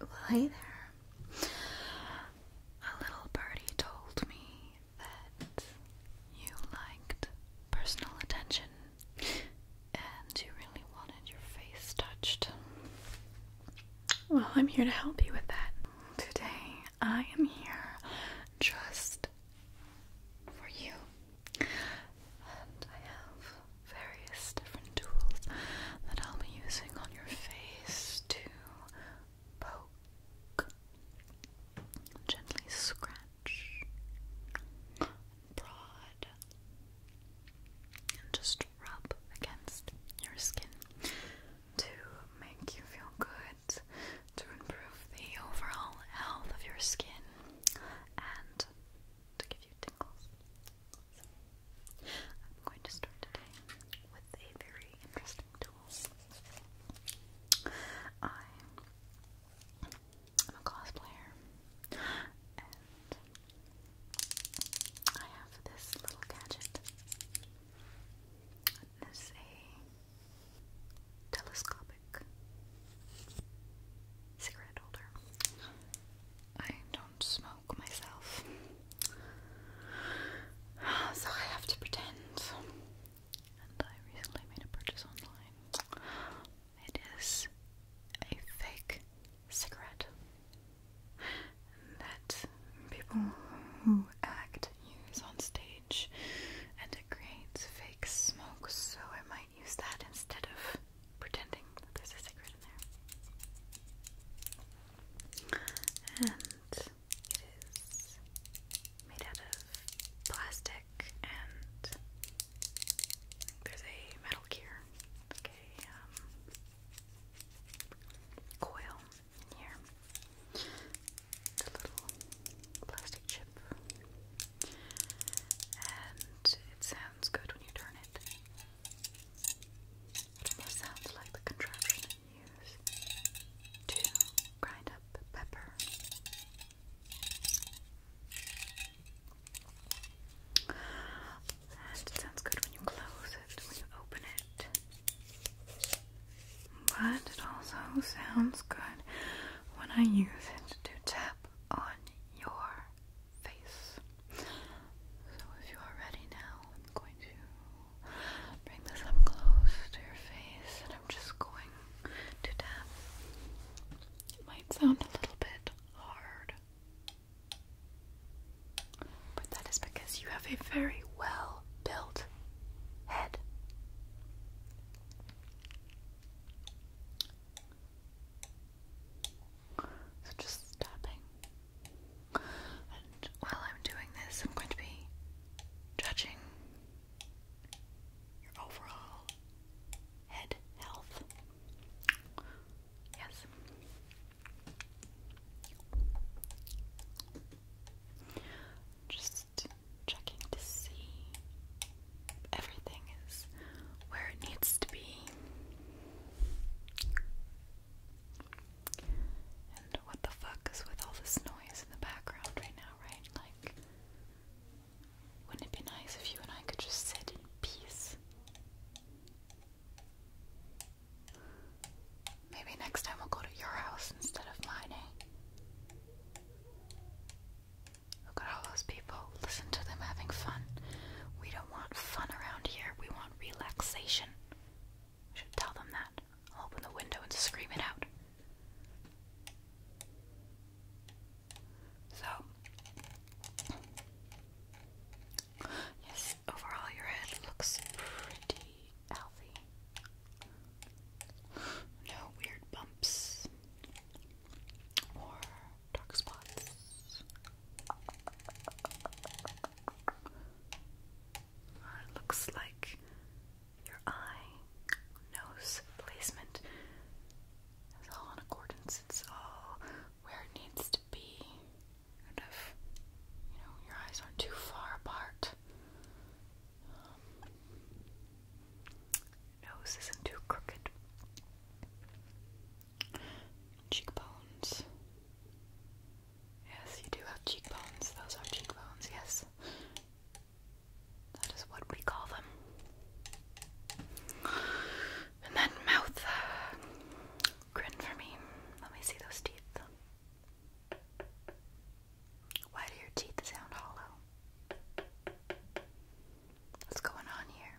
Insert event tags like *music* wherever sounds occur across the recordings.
Well, hey there. A little birdie told me that you liked personal attention and you really wanted your face touched. Well, I'm here to help you with that. Today, I am here just for you. And I have various different tools that I'll be using on your face to poke, gently scratch, prod, and just rub against your skin to make you feel good, to improve the overall health of your skin, and to give you tingles. I'm going to start today with a very interesting tool. I am a cosplayer, and I have this little gadget. This is a telescopic cigarette holder. I don't smoke myself. So I have to pretend. And I recently made a purchase online. It is a fake cigarette that people who act use on stage and it creates fake smoke, so I might use that instead of pretending that there's a cigarette in there. And it is made out of plastic and there's a metal gear. Like a um, coil in here. It's a little plastic chip. And it sounds good when you turn it. It almost sounds like the contraption I to grind up pepper. it sounds good when you close it, when you open it. But it also sounds good when I use it to tap on your face. So if you are ready now, I'm going to bring this up close to your face and I'm just going to tap. It might sound a little bit hard. But that is because you have a very well built head. So just tapping. And while I'm doing this, I'm going to be judging your overall head health. Yes. Just checking to see everything is where it needs to be. And what the fuck is with all this noise in the background right now, right? Like, wouldn't it be nice if you and I could just sit in peace? Maybe next time we'll go to your house instead of mine, eh? Look at all those Listen to them having fun. We don't want fun around here. We want relaxation. We should tell them that. I'll open the window and scream it out. So, yes, overall your head looks pretty healthy. No weird bumps or dark spots. Uh, it looks like your eye, nose placement is all in accordance. It's all where it needs to be. And if, you know, your eyes aren't too far apart, um, nose isn't too crooked. Cheekbones. Yes, you do have cheekbones. Those are cheekbones, yes. That is what we call them. And then mouth. Grin for me. Let me see those teeth. Why do your teeth sound hollow? What's going on here?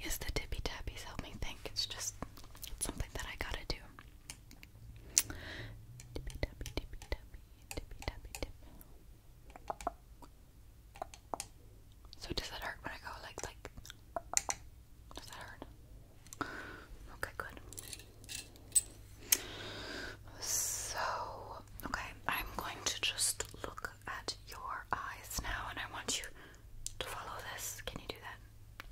Yes, the tippy tappies help me think. It's just it's something that I gotta do. So does that hurt when I go like like? Does that hurt? Okay, good. So okay, I'm going to just look at your eyes now, and I want you to follow this. Can you do that?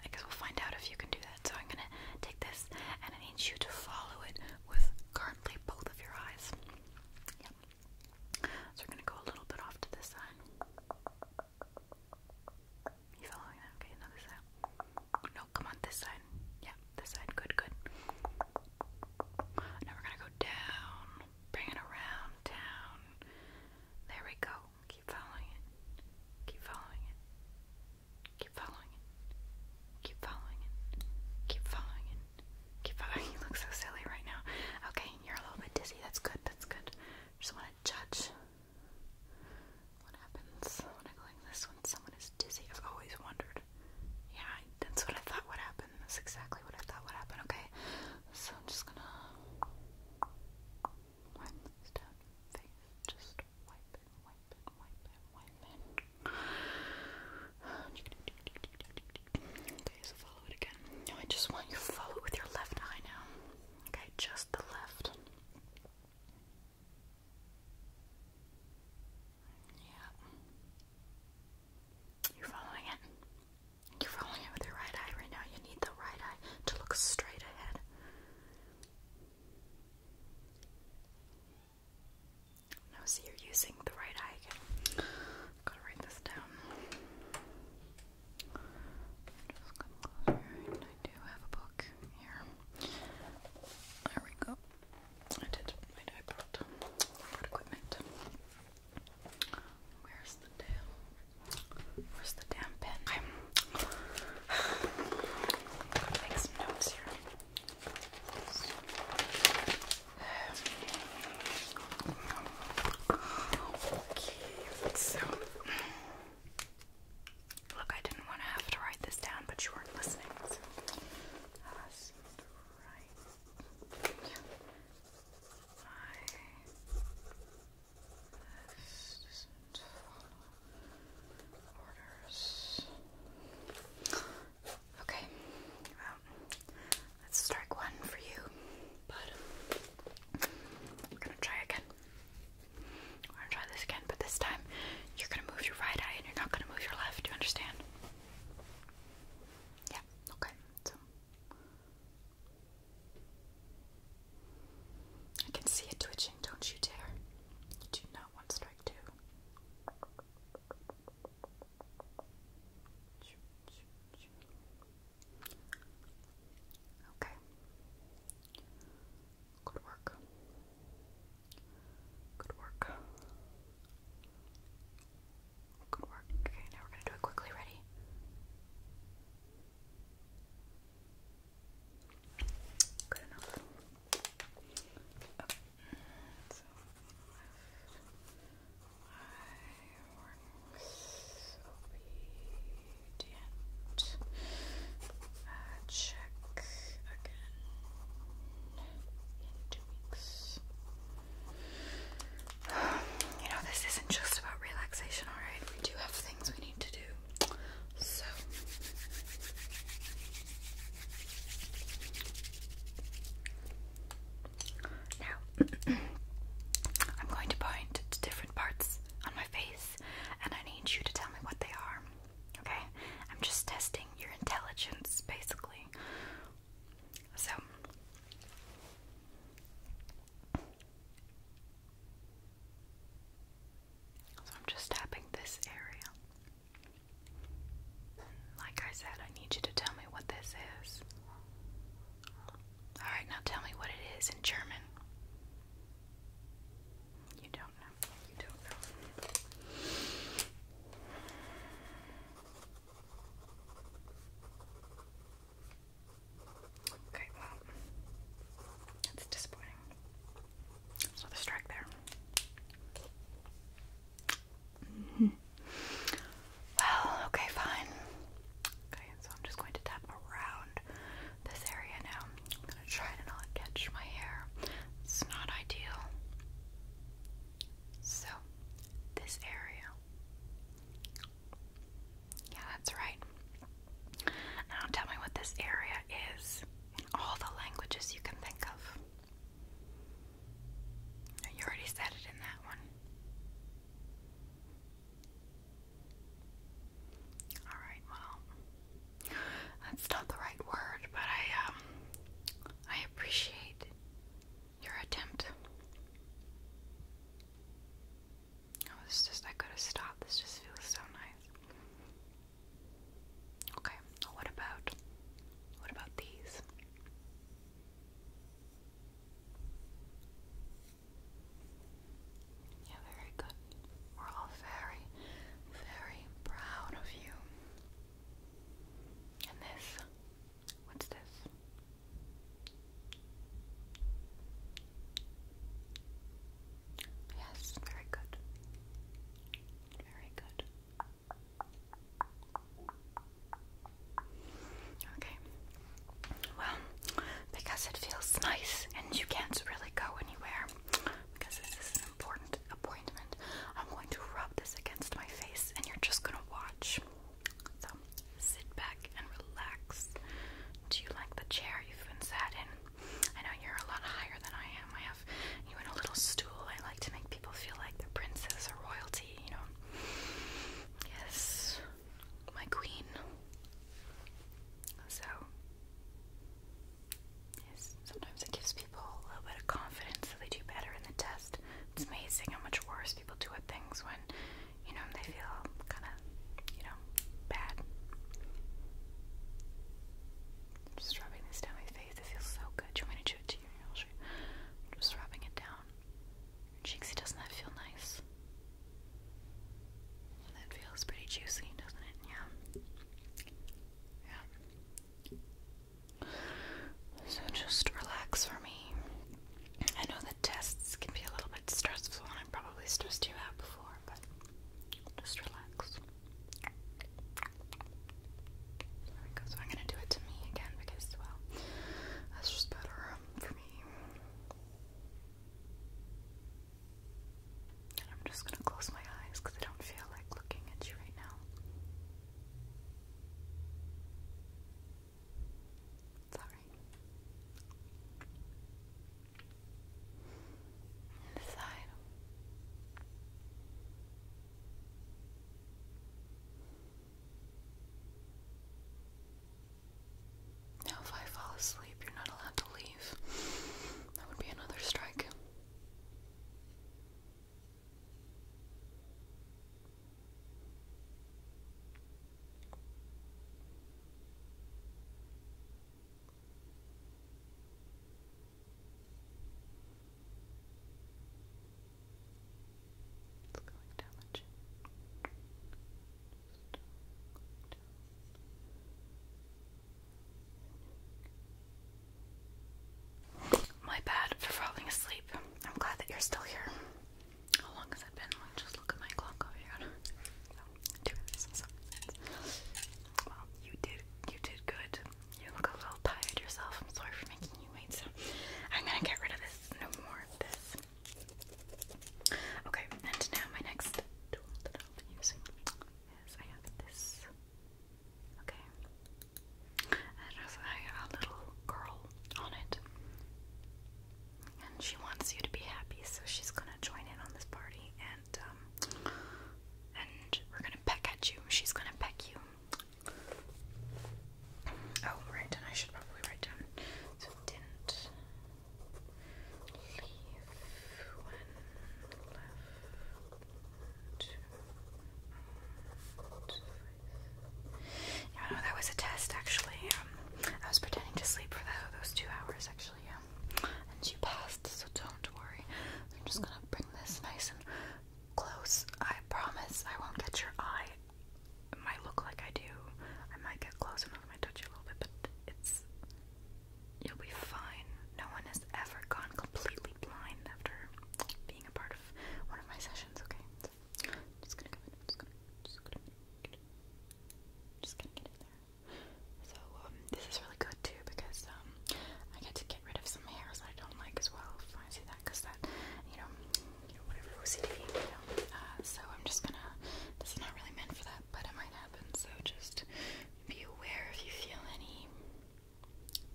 I guess we'll find out if you can do that. So I'm gonna take this and I need you to follow it with currently both of your eyes. Yep. So we're gonna go a little bit off to this side. You following Okay, another side. No, come on, this side. Yeah, this side. Good, good. Now we're gonna go down, bring it around, down, there we go. Keep following it. Keep following it. Keep following it. Keep following it. Keep following it. Keep following. *laughs* You look so silly right now. Okay, you're a little bit dizzy. That's good. That's good. Just want to judge what happens when I go like this when someone is dizzy. I've always wondered. Yeah, that's what I thought would happen. That's exactly what I thought would happen. Okay, so I'm just gonna wipe this down face. Just wipe it, wipe it, wipe it, wipe it. Okay, so follow it again. No, I just want you follow it with your left eye now. Okay, just the left. Yeah. You're following it. You're rolling it with your right eye right now. You need the right eye to look straight ahead. Now, see, you're using the right eye again. gotta write this down. Just come closer. I do have a book here. There we go. I did my eyebrow. Equipment. Where's the damn? Where's the damn pen? I'm gonna *sighs* make some notes here. Okay, so look, I didn't want to have to write this down, but you weren't listening. So. Uh, right this Okay, let's strike one for you, but I'm gonna try again. We're gonna try this again, but this time you're gonna move your right eye and you're not gonna move your left. Do you understand? Yeah, okay, so I can see it twitching, don't you dare. You do not want strike two. Okay. Good work. Good work. Good work. Okay, now we're going to do it quickly. Ready? Good enough. Okay. So, I obedient. Uh, check again in two weeks. You know, this isn't just about relaxation, alright? We do have things we need to do. So. Now, *clears throat* I'm going to point to different parts on my face, and I need you to tell me what they are. Okay? I'm just testing your intelligence, basically. So I'm just tapping this area. Like I said, I need you to tell me what this is. Alright, now tell me what it is in German. You don't know. You don't know. Okay, well, that's disappointing. So the strike there. -hmm. *laughs* Well, okay, fine. Okay, so I'm just going to tap around this area now. I'm gonna try to not catch my hair. It's not ideal. So, this area yeah, that's right. Now tell me what this area is in all the languages you can think of. You already said it in that one. Alright, well, that's not the right word, but I, um, I appreciate your attempt. Oh, this just, I could have stopped. This just feels so nice. Okay, what about, what about these? Yeah, very good. We're all very, very proud of you. And this What's this? Yes, very good. Very good. Okay. Well, because it feels nice and you can't really go anywhere, because this is an important appointment, I'm going to rub this against my face and you're just gonna watch. So sit back and relax. Do you like the chair you've been sat in? I know you're a lot higher than I am. I have you in a little stool. I like to make people feel like they're princess or royalty, you know. Yes, my queen. So, yes, sometimes it gives people a little bit of confidence so they do better in the test. It's amazing how much worse people do at things when, you know, they feel kind of, you know, bad. just rubbing this down my face. It feels so good. you want me to chew it to you? just rubbing it down. Cheeksy, doesn't that feel nice? That feels pretty juicy, doesn't it? Yeah. Yeah. So just relax for me. I know the tests can be a little bit stressful, and I probably stressed you out before, but just relax. So I'm gonna do it to me again because, well, that's just better um, for me. And I'm just gonna close my eyes because I don't feel like looking at you right now. It's alright. Now, if I fall asleep, you're not allowed to leave. That would be another strike. It's going down the chin. Just down. Down. My bad for falling asleep. I'm glad that you're still here. How long has it been? just look at my clock over here. two minutes and seven Well, you did you did good. You look a little tired yourself. I'm sorry for making you wait, I'm gonna get rid of this. No more of this. Okay, and now my next tool that I'll using is I have this Okay. It a, little girl on it. And she wants you to be happy, so she's gonna join in on this party and um, and we're gonna peck at you. She's gonna peck you. Oh, right, and I should probably write down so didn't leave when left to yeah, no, that was a test actually. Um, I was pretending to sleep for those two hours actually, And she passed, so don't worry. I'm just gonna bring this nice and close. I promise I won't get your eye. It might look like I do. I might get close enough, I touch you a little bit, but it's. You'll be fine. No one has ever gone completely blind after being a part of one of my sessions, okay? just gonna get in there. So, um, this is really good too because, um, I get to get rid of some hairs I don't like as well if I see that, because that, you know, whatever OCD, uh, so I'm just gonna, this is not really meant for that, but it might happen, so just be aware if you feel any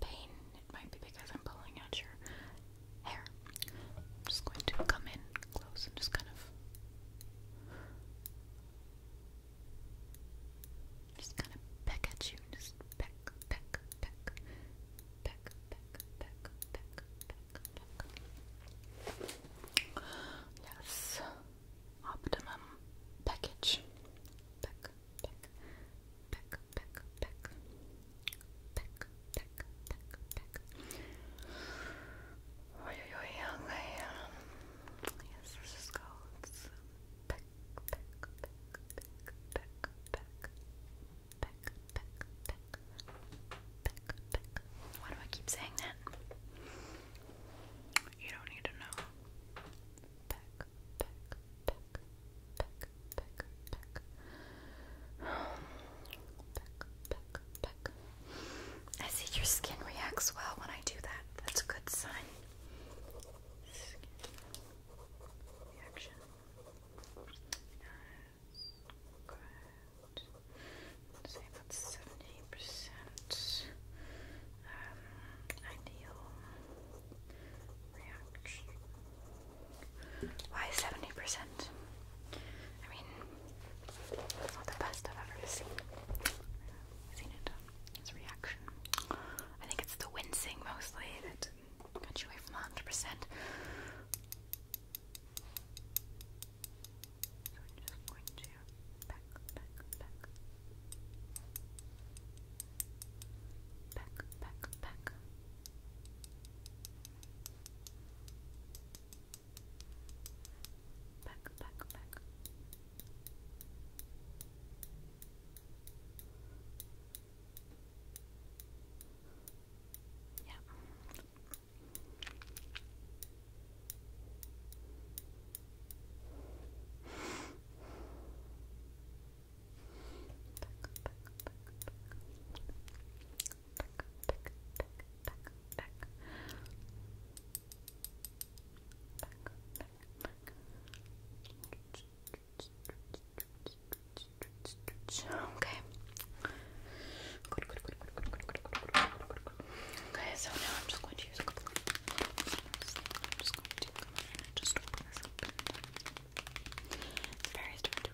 pain. It might be because I'm pulling out your hair. just going to come in close and just kind of just kind of peck at you. Just peck, peck, peck, peck, peck, peck, peck, peck, peck. Yes. Optimum package. Peck, peck, peck, peck, peck, peck, peck, Yes, this is called Why do I keep saying that? You don't need to know. I see your skin reacts well when I do that. That's a good sign. Skin reaction. Good. Let's seventy percent. Um, ideal reaction. Why 70%? I mean, it's not the best I've ever seen. seen it. It's reaction. I think it's the wincing mostly that got you away from 100%. So I'm just going to back, back, back. Back, back, back. Back, back, back. Yeah. Okay. Good, good, good, good, good, good, good, good, good, good. Okay, so now I'm just going to use a couple of. I'm just going to come in and just open this open.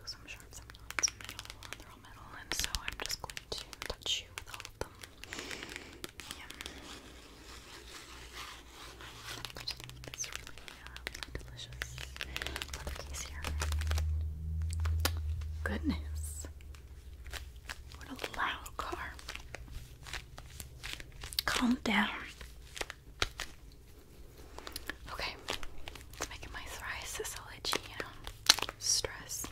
some sharp, some not, some metal, and so I'm just going to touch you with all of them. Yeah. Which is really, uh, really delicious. Leather case Goodness. What a loud car. Calm down. Okay, making my psoriasis all itchy, you know, stress.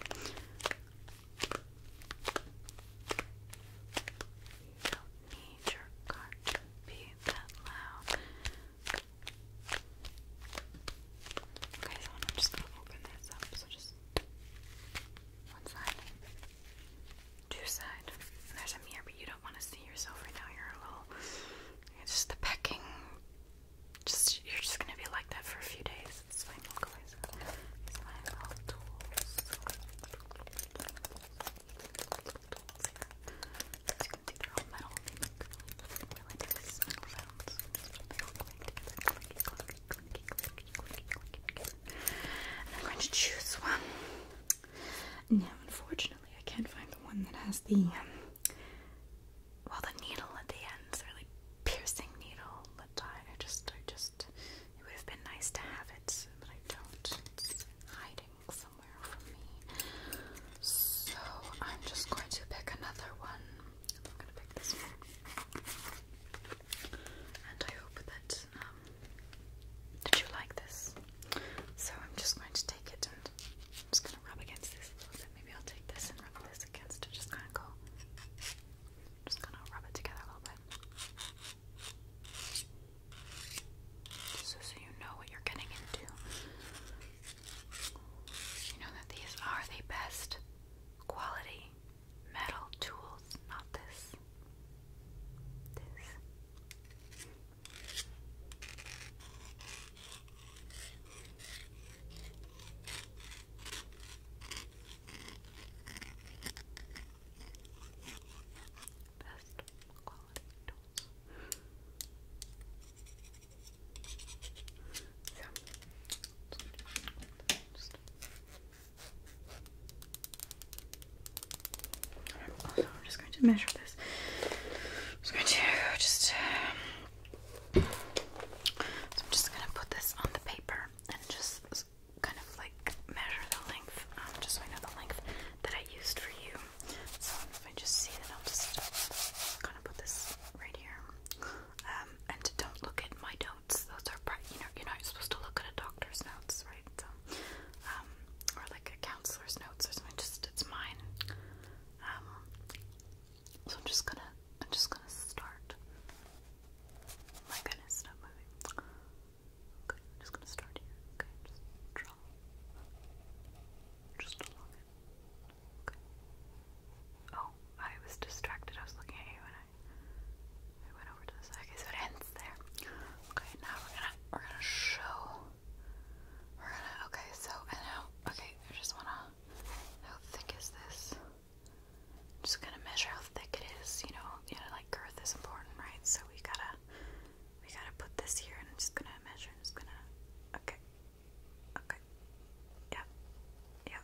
don't need your car to be that loud. Okay, so I'm just gonna open this up, so just one side two side. there's a mirror, but you don't want to see yourself right now. You're a little. It's the pecking. Just you're just gonna be like that for a few days. It's fine. Look away. So these my tools. all metal. I'm going to choose one. Now, unfortunately, I can't find the one that has the, um, well, the needle at the end. It's piercing needle, but I, I just, I just, it would have been nice to have it, but I don't. It's hiding somewhere from me. So I'm just going to pick another one. I'm going to pick this one. And I hope that, um, did you like this? So I'm just going to take it and I'm just going to rub against this a little bit. Maybe I'll take this and rub this against it. Just kind of go. Just going to rub it together a little bit. so you know what you're getting into. You know that these are the best quality metal tools, not this this. Best quality tools. So, just, just, just, also, I'm just going to measure this. I'm just going to just. Um, so I'm just gonna put this on the paper and just kind of like measure the length, um, just so I know the length that I used for you. So if I just see that, I'll just kind of put this right here. Um, and don't look at my notes; those are, pri you know, you're not supposed to look at a doctor's notes, right? Um, or like a counselor's notes or something. Just it's mine. Um, so I'm just gonna, I'm just gonna start. My goodness, stop moving. Okay, I'm just gonna start here. Okay, just draw. Just along it. Okay. Oh, I was distracted. I was looking at you and I I went over to the side. so it ends there. Okay, now we're gonna we're gonna show. We're gonna okay, so and now okay, I just wanna how thick is this? just gonna measure how thick it is, you know, like girth is important, right? So we gotta we gotta put this here and I'm just gonna measure just gonna okay. Okay. Yeah. Yeah.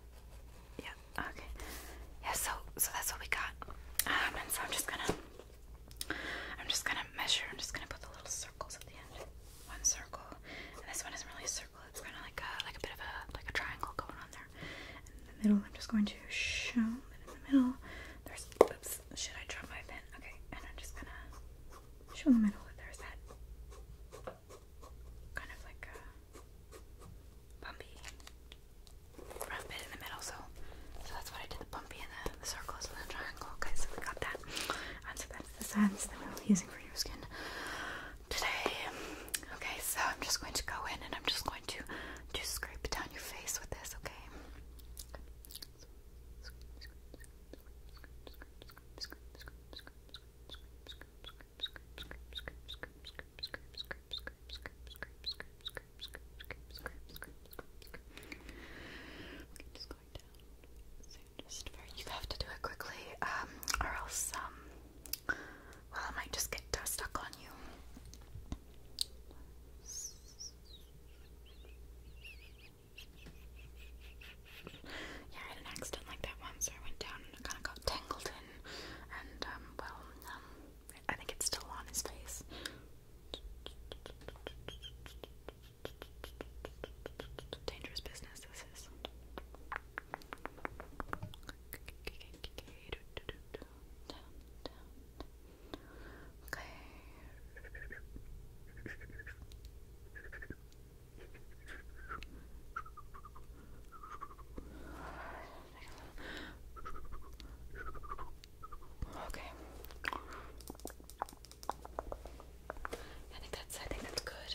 Yeah. Okay. Yeah, so so that's what we got. Um and so I'm just gonna I'm just gonna measure, I'm just gonna put the little circles at the end. One circle. And this one isn't really a circle, it's kinda like a like a bit of a like a triangle going on there. in the middle, I'm just going to show in the middle. There's oops, should I draw my pen? Okay, and I'm just gonna show the middle that there's that kind of like a bumpy rough bit in the middle, so so that's what I did, the bumpy and the, circles and the triangle. Okay, so we got that. And so that's the sense that we are using for your skin today. Okay, so I'm just going to go in and I'm just going to just scrape down your face with this, okay? scrape, scrape, scrape, scrape, scrape, scrape, scrape. Okay, just going down. So just very, you have to do it quickly, um, or else, um, well, I might just get uh, stuck on you. Yeah, I had an accident like that once. I went down and it kind of got tangled in, and um, well, um, I think it's still on his face. Dangerous business, this is. Okay. Okay. I think that's I think that's good.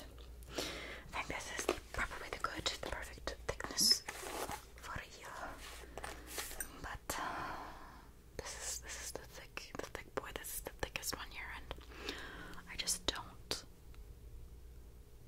I think this is probably the good, the perfect thickness for you. But uh, this is this is the thick the thick boy, this is the thickest one here and I just don't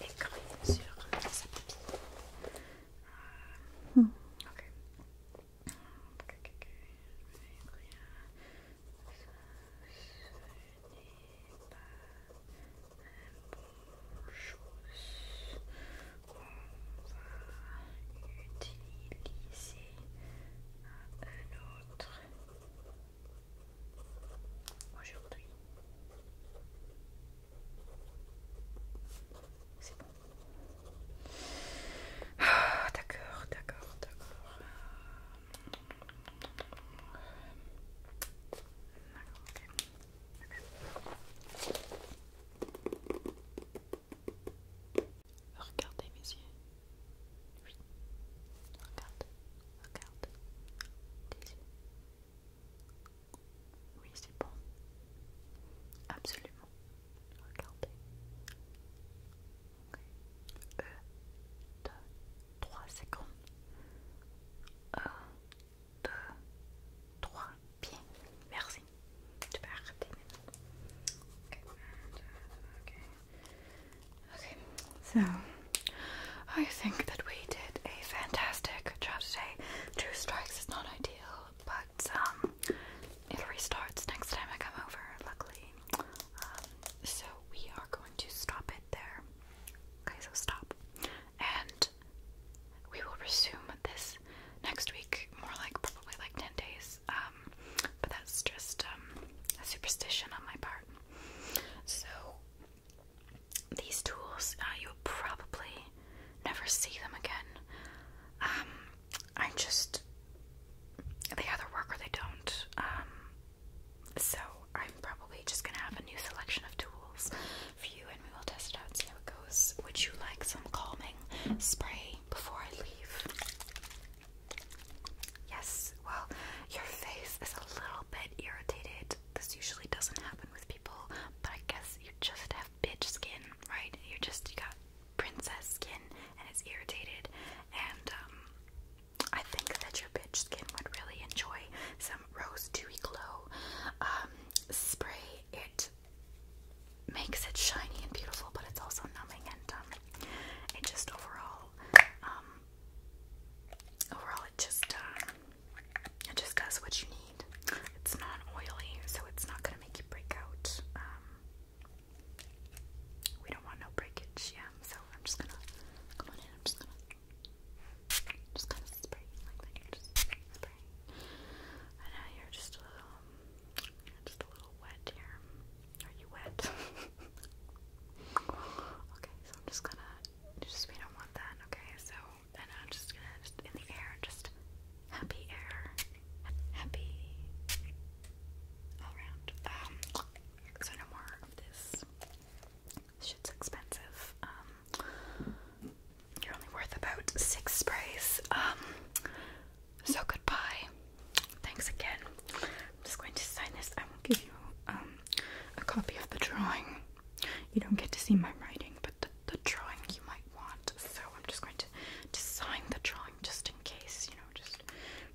D'accord, je vais écrire sur sa papille. Hmm. Ok. Ok, ok, ok. Je vais écrire. Ce n'est pas une bonne chose. On va utiliser un autre aujourd'hui. C'est bon. Ah, d'accord, d'accord, d'accord. Regardez mes yeux. Oui. Regardez. Regarde. Oui, c'est bon. Absolument. Regardez. Un, deux, trois secondes. Un, deux, trois. Bien. Merci. Tu peux arrêter maintenant. Okay, so I think that we did a fantastic job today. Two strikes is not ideal, but um, it restarts next time I come over, luckily. Um, so we are going to stop it there. Okay, so stop. And we will resume this next week, more like probably like 10 days. Um, but that's just a superstition on my part. So these tools, uh, you'll probably never see them again. Um, I just, they either work or they don't. Um, so I'm probably just gonna have a new selection of tools for you and we will test it out see how it goes. Would you like some calming spray before I leave? Yes, well, your face is a little bit irritated. This usually doesn't happen with people, but I guess you just have bitch skin, right? You just you got princess skin and it's irritated, and um, I think that your bitch skin would really enjoy some Rose Dewy Glow um, spray. It makes it shiny and beautiful, but it's also numbing and um, it just overall um, overall it just uh, it just does what you need. It's not oily, so it's not gonna make you break out. Um, we don't want no breakage, yeah. So I'm just gonna come on in. I'm just gonna just spray like that. Just spray. I know you're just a little, just a little wet here. Are you wet? *laughs* okay, so I'm just gonna just we don't want that, okay? So and I'm just gonna in the air, just happy air. Happy all around. Um so no more of this. Shit's expensive. Um you're only worth about six sprays. Um so goodbye. Thanks again. I'm just going to sign this. I will give you um a copy of the drawing. You don't get to see my writing, but the, drawing you might want. So I'm just going to design the drawing just in case, you know, just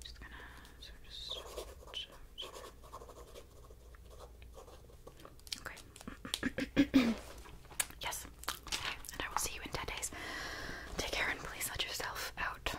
just gonna Okay. *coughs* yes. Okay. And I will see you in 10 days. Take care and please let yourself out.